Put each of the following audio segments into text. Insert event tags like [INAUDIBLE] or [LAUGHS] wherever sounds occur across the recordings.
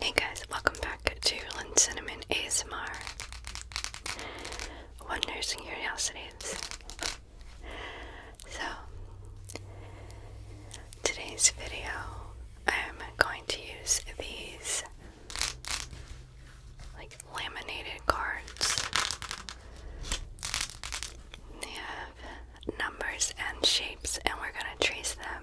Hey guys, welcome back to Lynn Cinnamon ASMR. Wonders and Curiosities. So, today's video, I'm going to use these like laminated cards. They have numbers and shapes, and we're going to trace them um,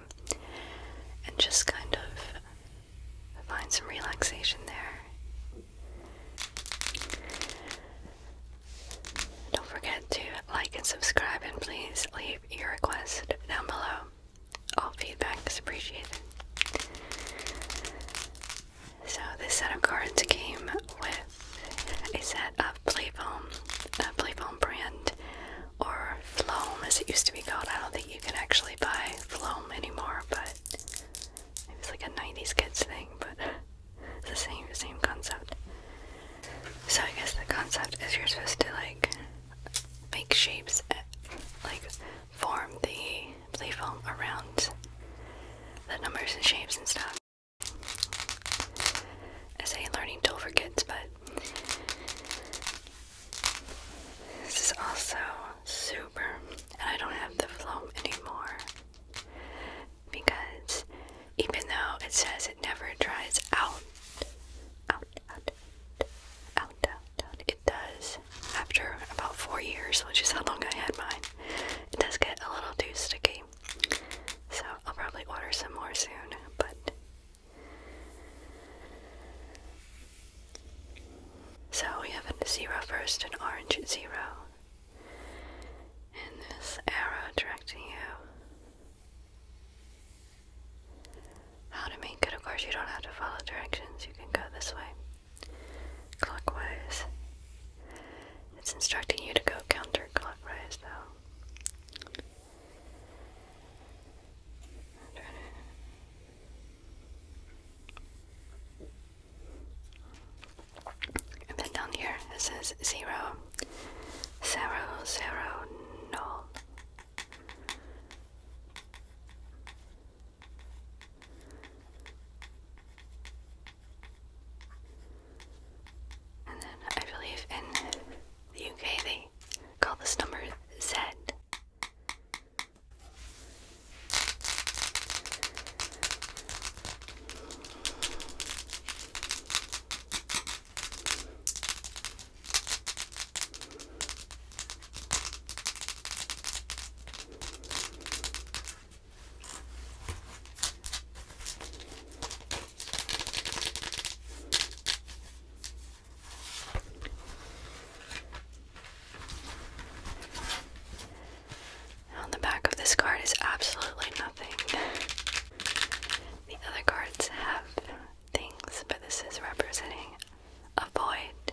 and just kind of find some relaxation there. Don't forget to like and subscribe, and please leave your request down below. All feedback is appreciated. So, this set of cards came with a set of Playfoam, a Playfoam brand or Floam as it used to be called. I don't think you can actually buy Floam anymore, but it was like a 90s kids thing, but [LAUGHS] it's the same, same concept. So I guess the concept is you're supposed to like make shapes, eh, like form the play foam around the numbers and shapes and stuff. As a learning tool for kids, but this is also super, and I don't have the film anymore because even though it says it never dries out, out, out, out, out, out, it does after about four years, which is how long I had mine. It does get a little too sticky, so I'll probably order some more soon, but so we have a zero first, an orange zero, and this arrow directing you how to make it. Of course, you don't have to follow directions, you can go this way clockwise. It's instructing you to go counterclockwise, though. And then down here it says zero, zero, zero, null. And then I believe in the UK they Call this number Z. On the back of this card is absolutely nothing. The other cards have things, but this is representing a void.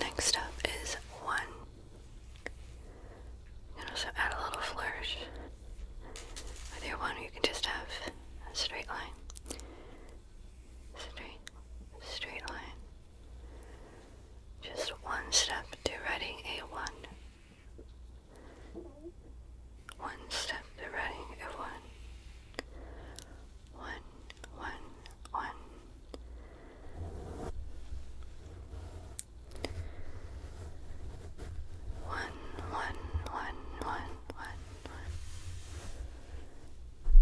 Next up is one. You can also add a little flourish. With your one, you can just have a straight line. Straight, straight line. Just one step to writing a one one step to running at one. One, one, one. One, one, one, one, one, one.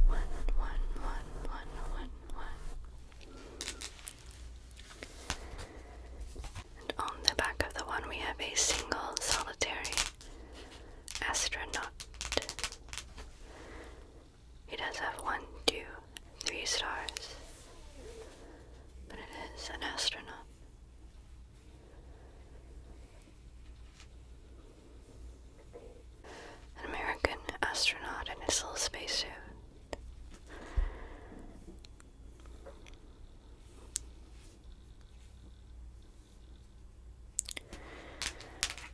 One, one, one, one, one, one. And on the back of the one, we have a single solitary astronaut. He does have one, two, three stars, but it is an astronaut. An American astronaut in his little spacesuit.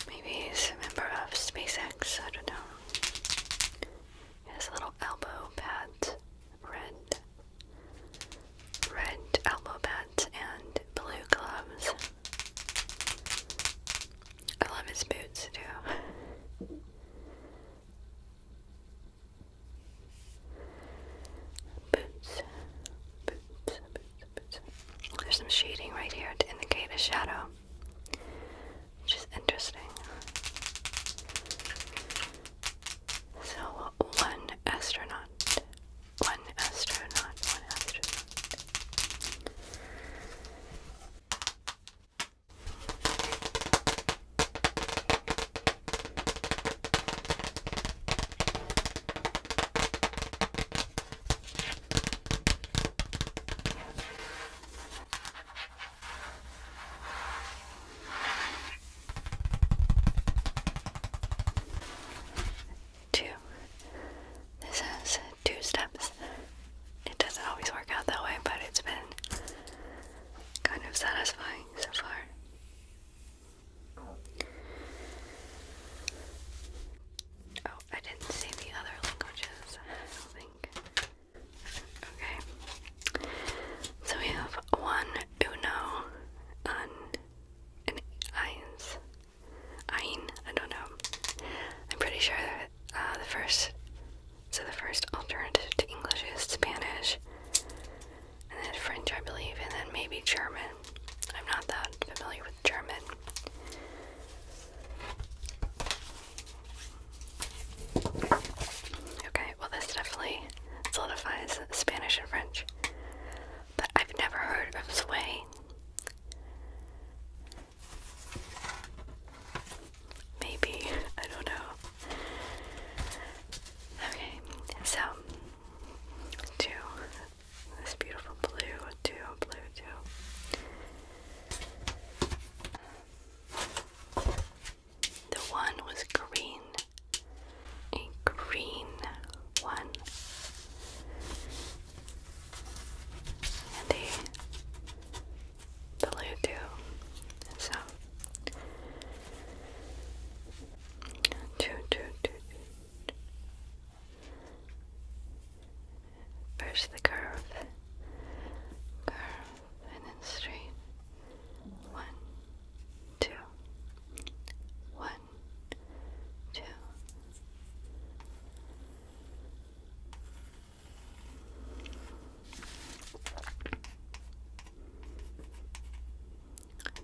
Maybe he's a member of SpaceX, I don't know. has little elbow pads, red, red elbow pads and blue gloves. I love his boots too. Boots, boots, boots, boots. There's some shading right here to indicate a shadow, which is interesting. So, one astronaut, one astronaut, one astronaut. Two. This has two steps. It doesn't always work out that way, but it's been kind of satisfying so far. Oh, I didn't see the other languages, I don't think. Okay. So we have one uno, un, and eins. Ein, I don't know. I'm pretty sure that uh, the first, so the first alternative to English is Spanish and then French, I believe, and then maybe German. I'm not that familiar with German. Okay, well, this definitely solidifies Spanish and French. But I've never heard of Zwei. Maybe, [LAUGHS] I don't know. Okay, so, two, this beautiful blue two blue two. The one was green, a green one, and a blue too. So two, two, two, two. First the curve, curve, and then straight. One, two, one, two. One,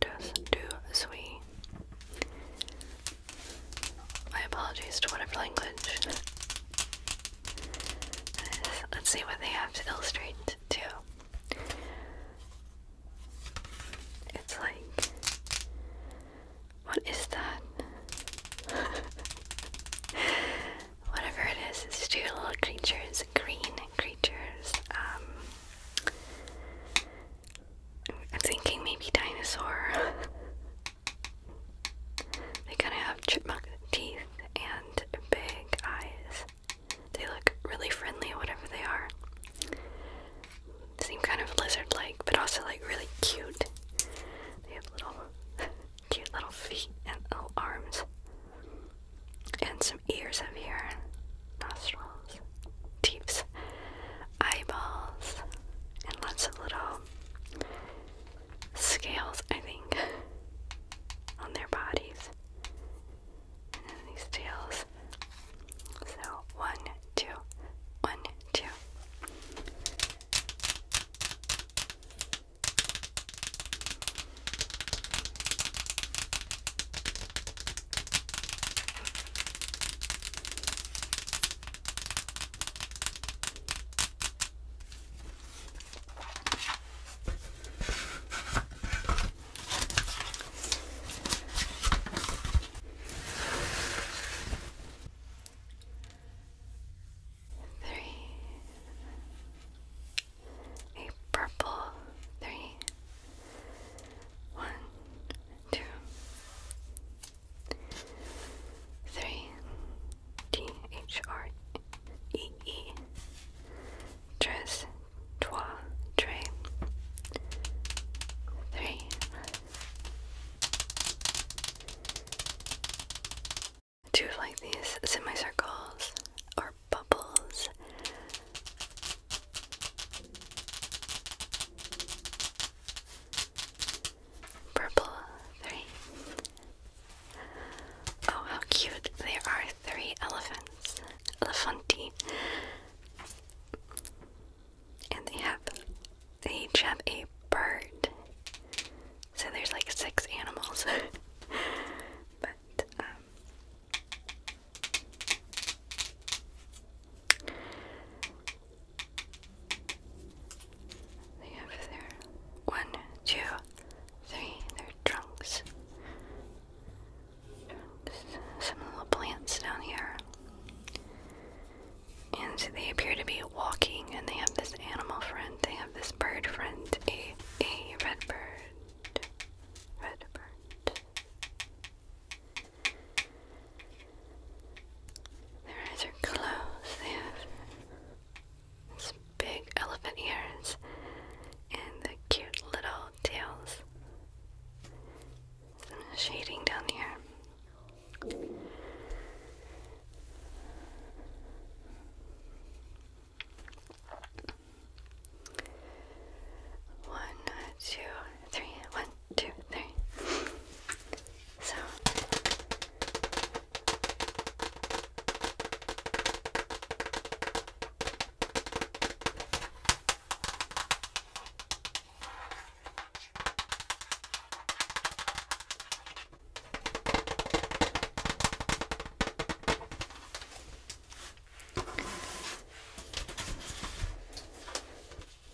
just too sweet. My apologies to whatever language. Let's see what they have to illustrate too. It's like, what is that? [LAUGHS] Whatever it is, it's two little creatures, green creatures, um, I'm thinking maybe dinosaur. [LAUGHS] they kind of have chipmunk teeth and big eyes. They look really friendly, whatever they are. Seem kind of lizard like, but also like really cute. They have little, [LAUGHS] cute little feet and little arms. And some ears up here nostrils, teeth, eyeballs, and lots of little scales, I think, on their bodies. And then these tails. So, one, two, one, two. Three, a purple, three, one, two, three, D H R E E, tres, trois, tres, three. Two of like these semicircles or bubbles Purple three. Oh, how cute! There are three elephants, elephanti, and they have each have a bird. So there's like six animals, [LAUGHS] but um, they have their one, two, three, their trunks. Some little plants down here. And they appear to be walking, and they have this animal friend, they have this bird friend, a, a red bird. Red bird. Their eyes are closed. They have these big elephant ears and the cute little tails. Some shading down here two, three. So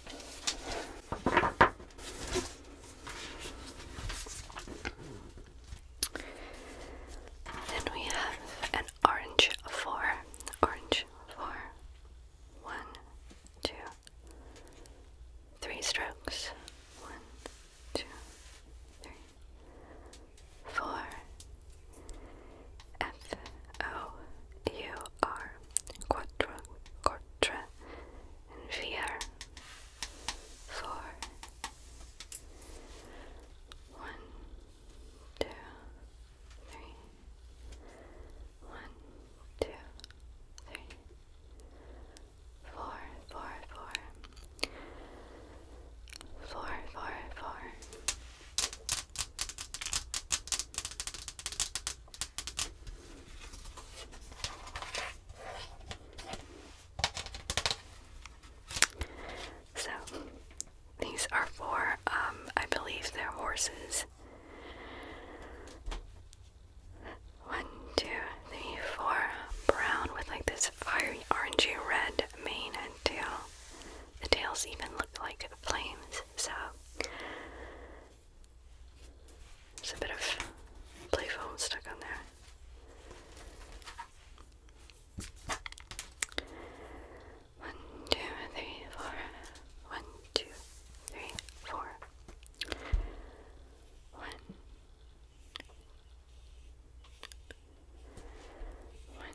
then we have an orange four, orange four, one, two, three strokes, one, two, three, four, F O U are quattro, quattro, and VR four. One, two, three. One, two, three. Four, four, four. Four, four, four. So, these are for, um, I believe they're horses. One, two, three, four. Brown with like this fiery orangey red mane and tail. The tails even look like flames, so there's a bit of play foam stuck on there. One, two, three, four. One, two, three, four. One. One,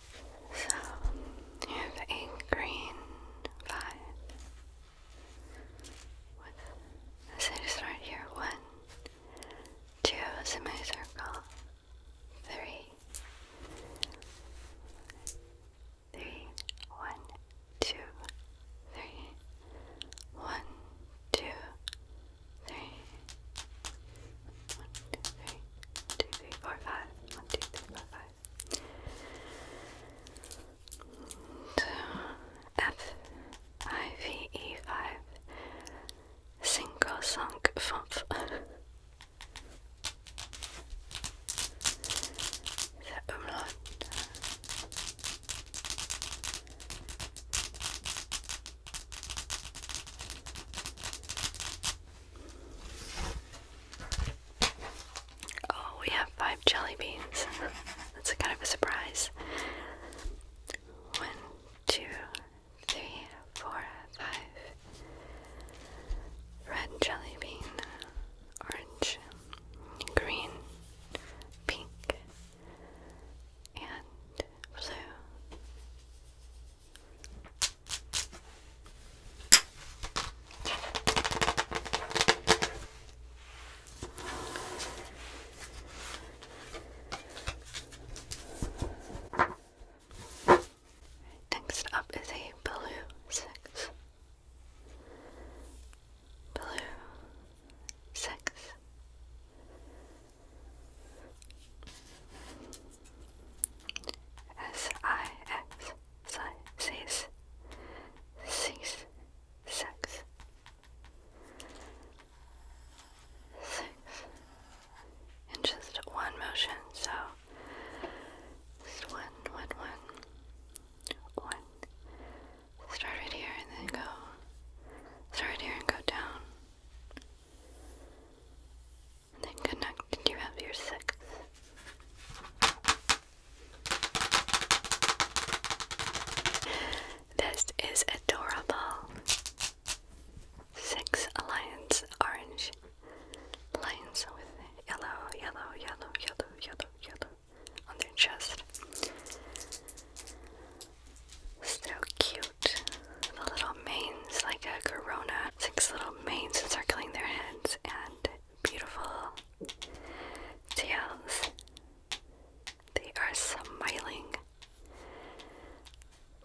So you have a green vibe with the cities here. One, two, semicircle, three, three, one, two, three, one, two, three, one, two, three, one, two, three, four, five, one, two, three, four, five. F I V E five single sunk font. Oh, we have five jelly beans. [LAUGHS] That's a kind of a surprise. One, two, three, four, five. Red jelly bean, orange, green, pink, and blue. Next up is a blue six. Blue six. S I X six in just one motion, so just one, one, one, one. Start right here and then go. Start right here and go down and then connect you have your sixth. This is adorable. Six lions, orange lions with yellow, yellow, yellow, yellow, yellow, yellow on their chest. So cute. The little manes, like a corona, six little manes encircling their heads, and beautiful tails. They are smiling,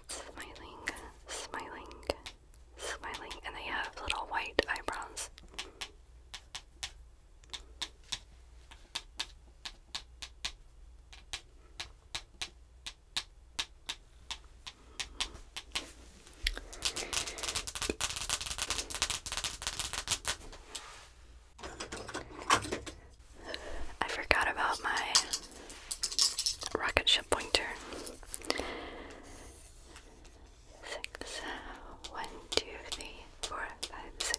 smiling, smiling, smiling, and they have little white eyebrows. I forgot about my rocket ship pointer. Six, uh, one, two, three, four, five, six.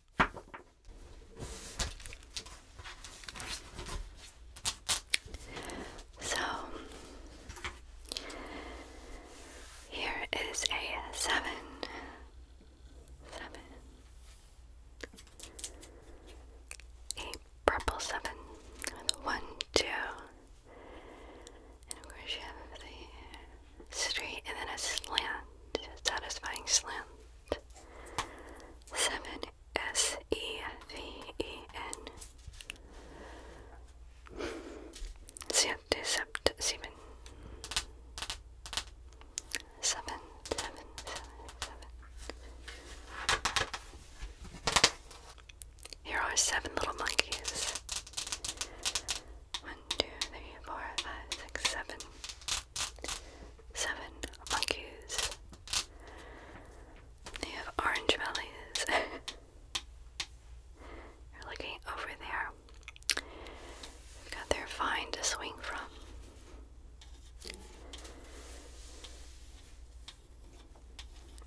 So, here is a seven, seven, a purple seven with one, two, and of course you have the straight, and then a slant, a satisfying slant. Seven S E V E N. Septicept seven. Seven, seven, seven, seven. Here are seven little monkeys. One, two, three, four, five, six, seven. Seven monkeys. They have orange bellies. [LAUGHS] You're looking over there. they have got their vine to swing from.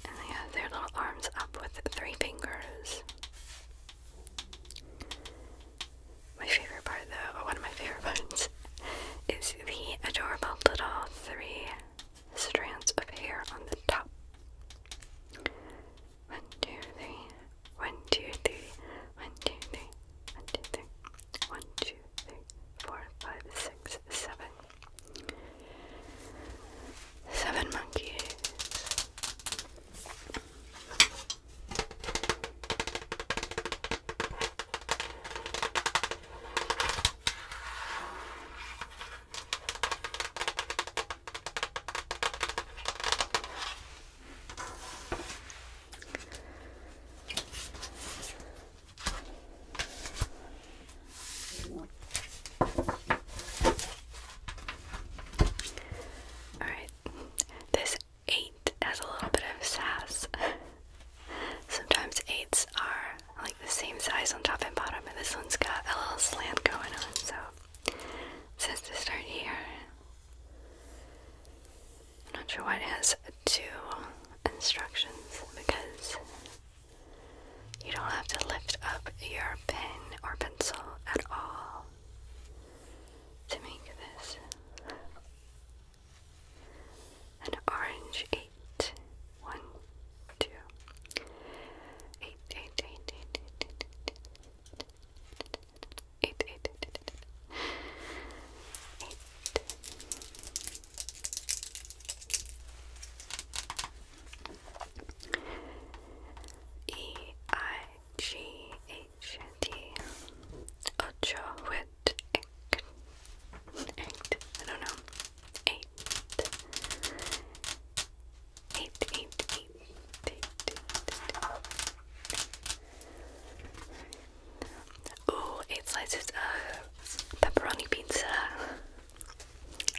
And they have their little arms up with three fingers. My favorite part though, or one of my favorite parts, [LAUGHS] is the adorable little three strands of hair on the top. One, two, three. One, two, three. One, two, three. One, two, three. One, two, three, four, five, six, seven. Seven monkeys. All right, this eight has a little bit of sass. [LAUGHS] Sometimes eights are like the same size on top and bottom, and this one's got a little slant going on, so it says to start here. I'm not sure why it has two instructions because you don't have to lift up your pen or pencil at all to make this and orange eight one two eight eight eight eight eight eight eight eight eight eight eight eight E I G A ocho, I don't know, eight, eight, eight, eight, eight, eight, eight. Ooh, slices of pepperoni pizza.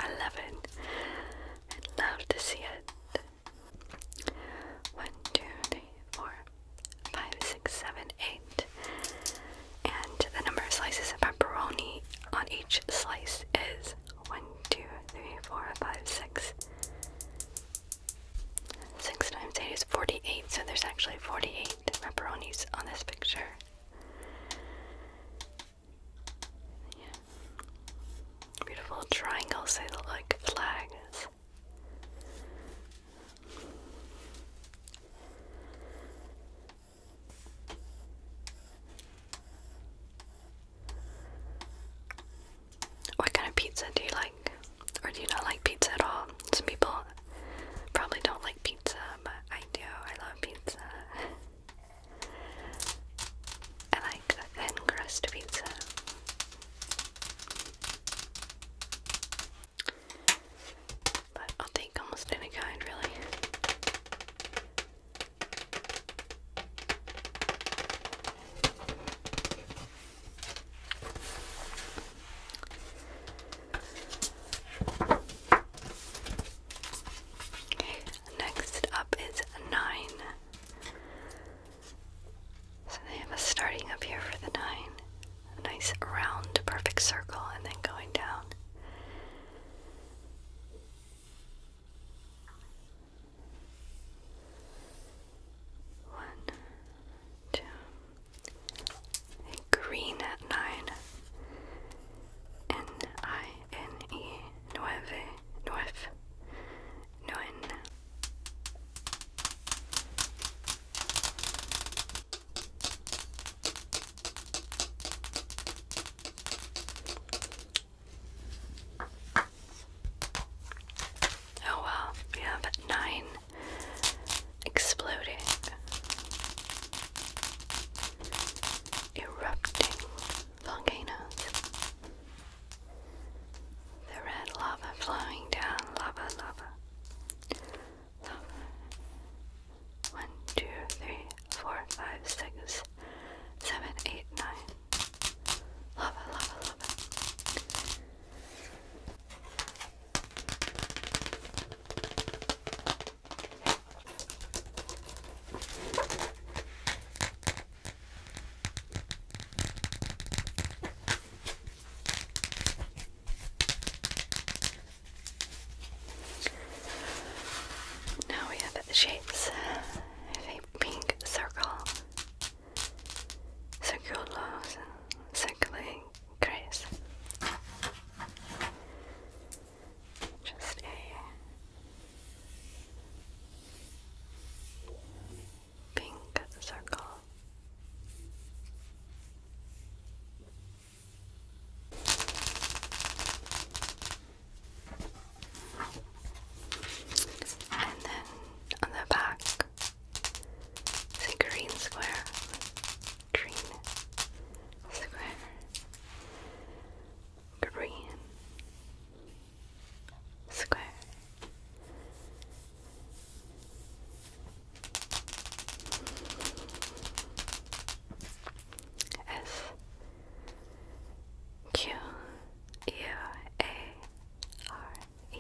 I love it. i love to see it. One, two, three, four, five, six, seven, eight. And the number of slices of pepperoni on each slice is one, two, three, four, five, six. Six times eight is forty-eight, so there's actually forty-eight pepperonis on this picture. Beautiful triangles, they look like flags. What kind of pizza do you like? Or do you not like pizza at all? Some people probably don't like pizza, but I do. I love pizza. I like thin crust pizza. But I'll almost any kind, really. Okay, next up is nine. So they have a starting up here for the nine. A nice round perfect circle and then going down. One, two, green at nine. N I N E nueve nueve nuen Oh well, we have nine exploding, erupting volcanoes. The red lava flowing down, lava, lava love. One, two, three, four, five, six, seven, eight, nine. Love it, love it, love it. Now we have the shapes of a pink circle, circulose, circling grace. Just a pink circle. And then on the back, green square. Green square. Green square. S Q U A R E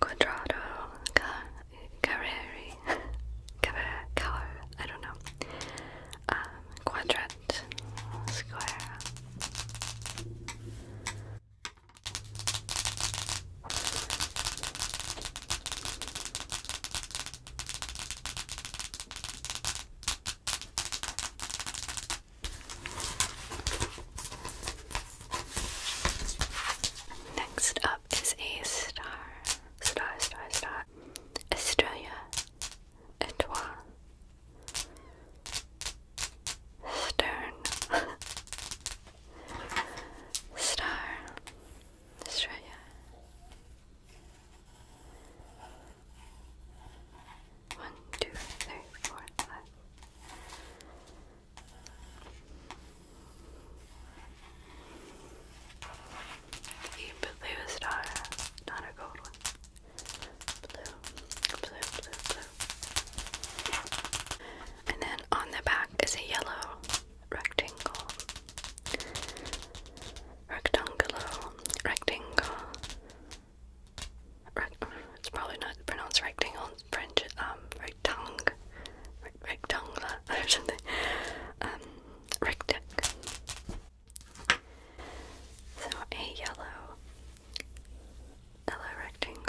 Quadrado [LAUGHS] Car Carreri I don't know um, Quadrant Square Next up is a star, star, star, star, Estrella, Etoile, Stern, [LAUGHS] Star Australia. One, two, three, four, five. The blue star, not a gold one. Blue, blue, blue, blue and then on the back is a yellow rectangle. Rectangular, rectangle. Rect oh, it's probably not pronounced rectangle. It's French, um, rectangle, re rectangular [LAUGHS] or something. Um, rectangle. So a yellow Hello, rectangle.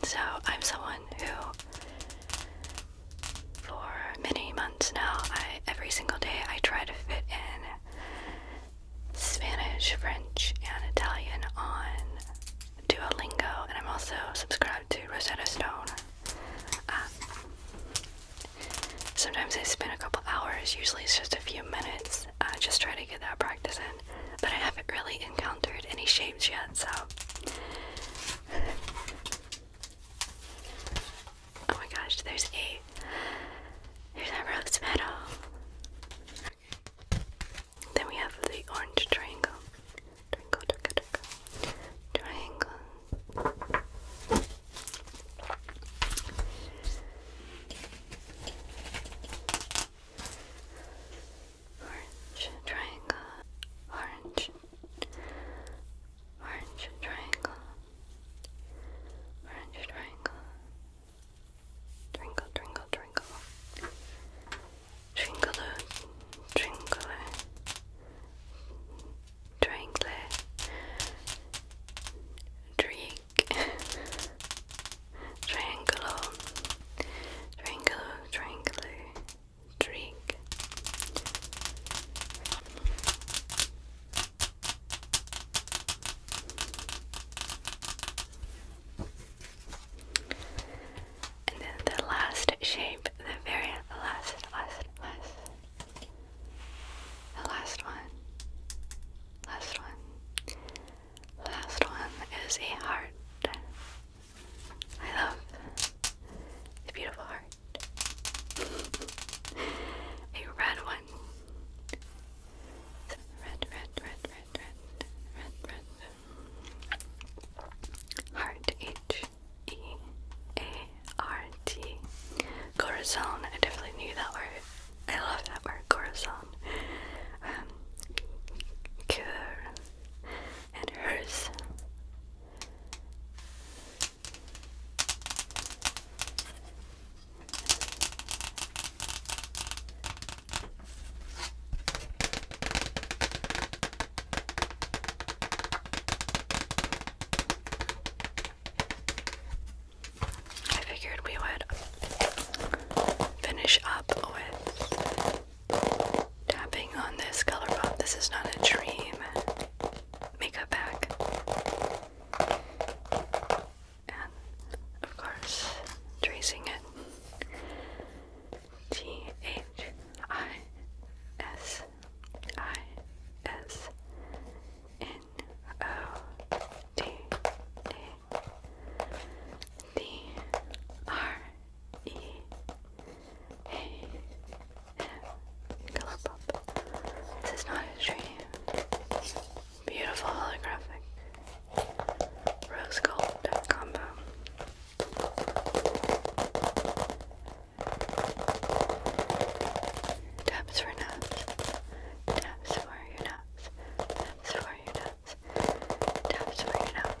[LAUGHS] so, I'm someone who, for many months now, every single day I try to fit in Spanish, French, and Italian on Duolingo, and I'm also subscribed to Rosetta Stone. Um, sometimes I spend a couple hours, usually it's just a few minutes, uh, just try to get that practice in. But I haven't really encountered any shapes yet, so. Oh my gosh, there's eight. There's that rose metal. Then we have the orange triangle. Triangle, triangle, triangle. triangle. Orange triangle, orange, orange triangle, orange triangle, twinkle, twinkle, twinkle, Tringle, Tringle, Triangle, Drake, Triangle, Triangle, Triangle, Drake. And then the last shape, the very last, last, last, the last one, last one, last one is a heart. I love the beautiful heart. a red one. Red, red, red, red, red, red, red. Heart each. G A R T. Corazon. I definitely knew that word. I love that word, corazon. Um, cure and hers. I figured we would finish up with tapping on this color pop. This is not a dream makeup bag. And of course, tracing it. G H I S I S N O D A D R E A M This is not a dream. Beautiful holographic rose gold combo. Taps for nuts. Taps for your nuts. Taps for your nuts. Taps for your nuts.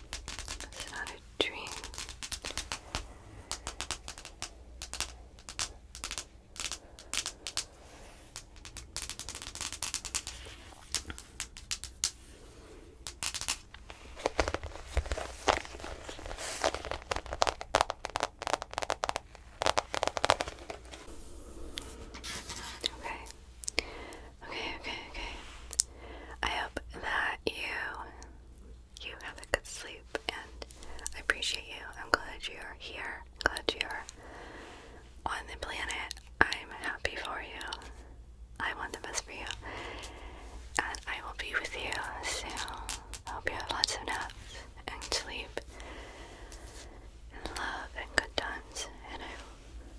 It's not a dream. Okay. Okay, okay, okay. I hope that you you have a good sleep and I appreciate you. I'm glad you're here. Glad you're on the planet. I'm happy for you. I want the best for you. And I will be with you soon. I hope you have lots of naps and sleep and love and good times. And I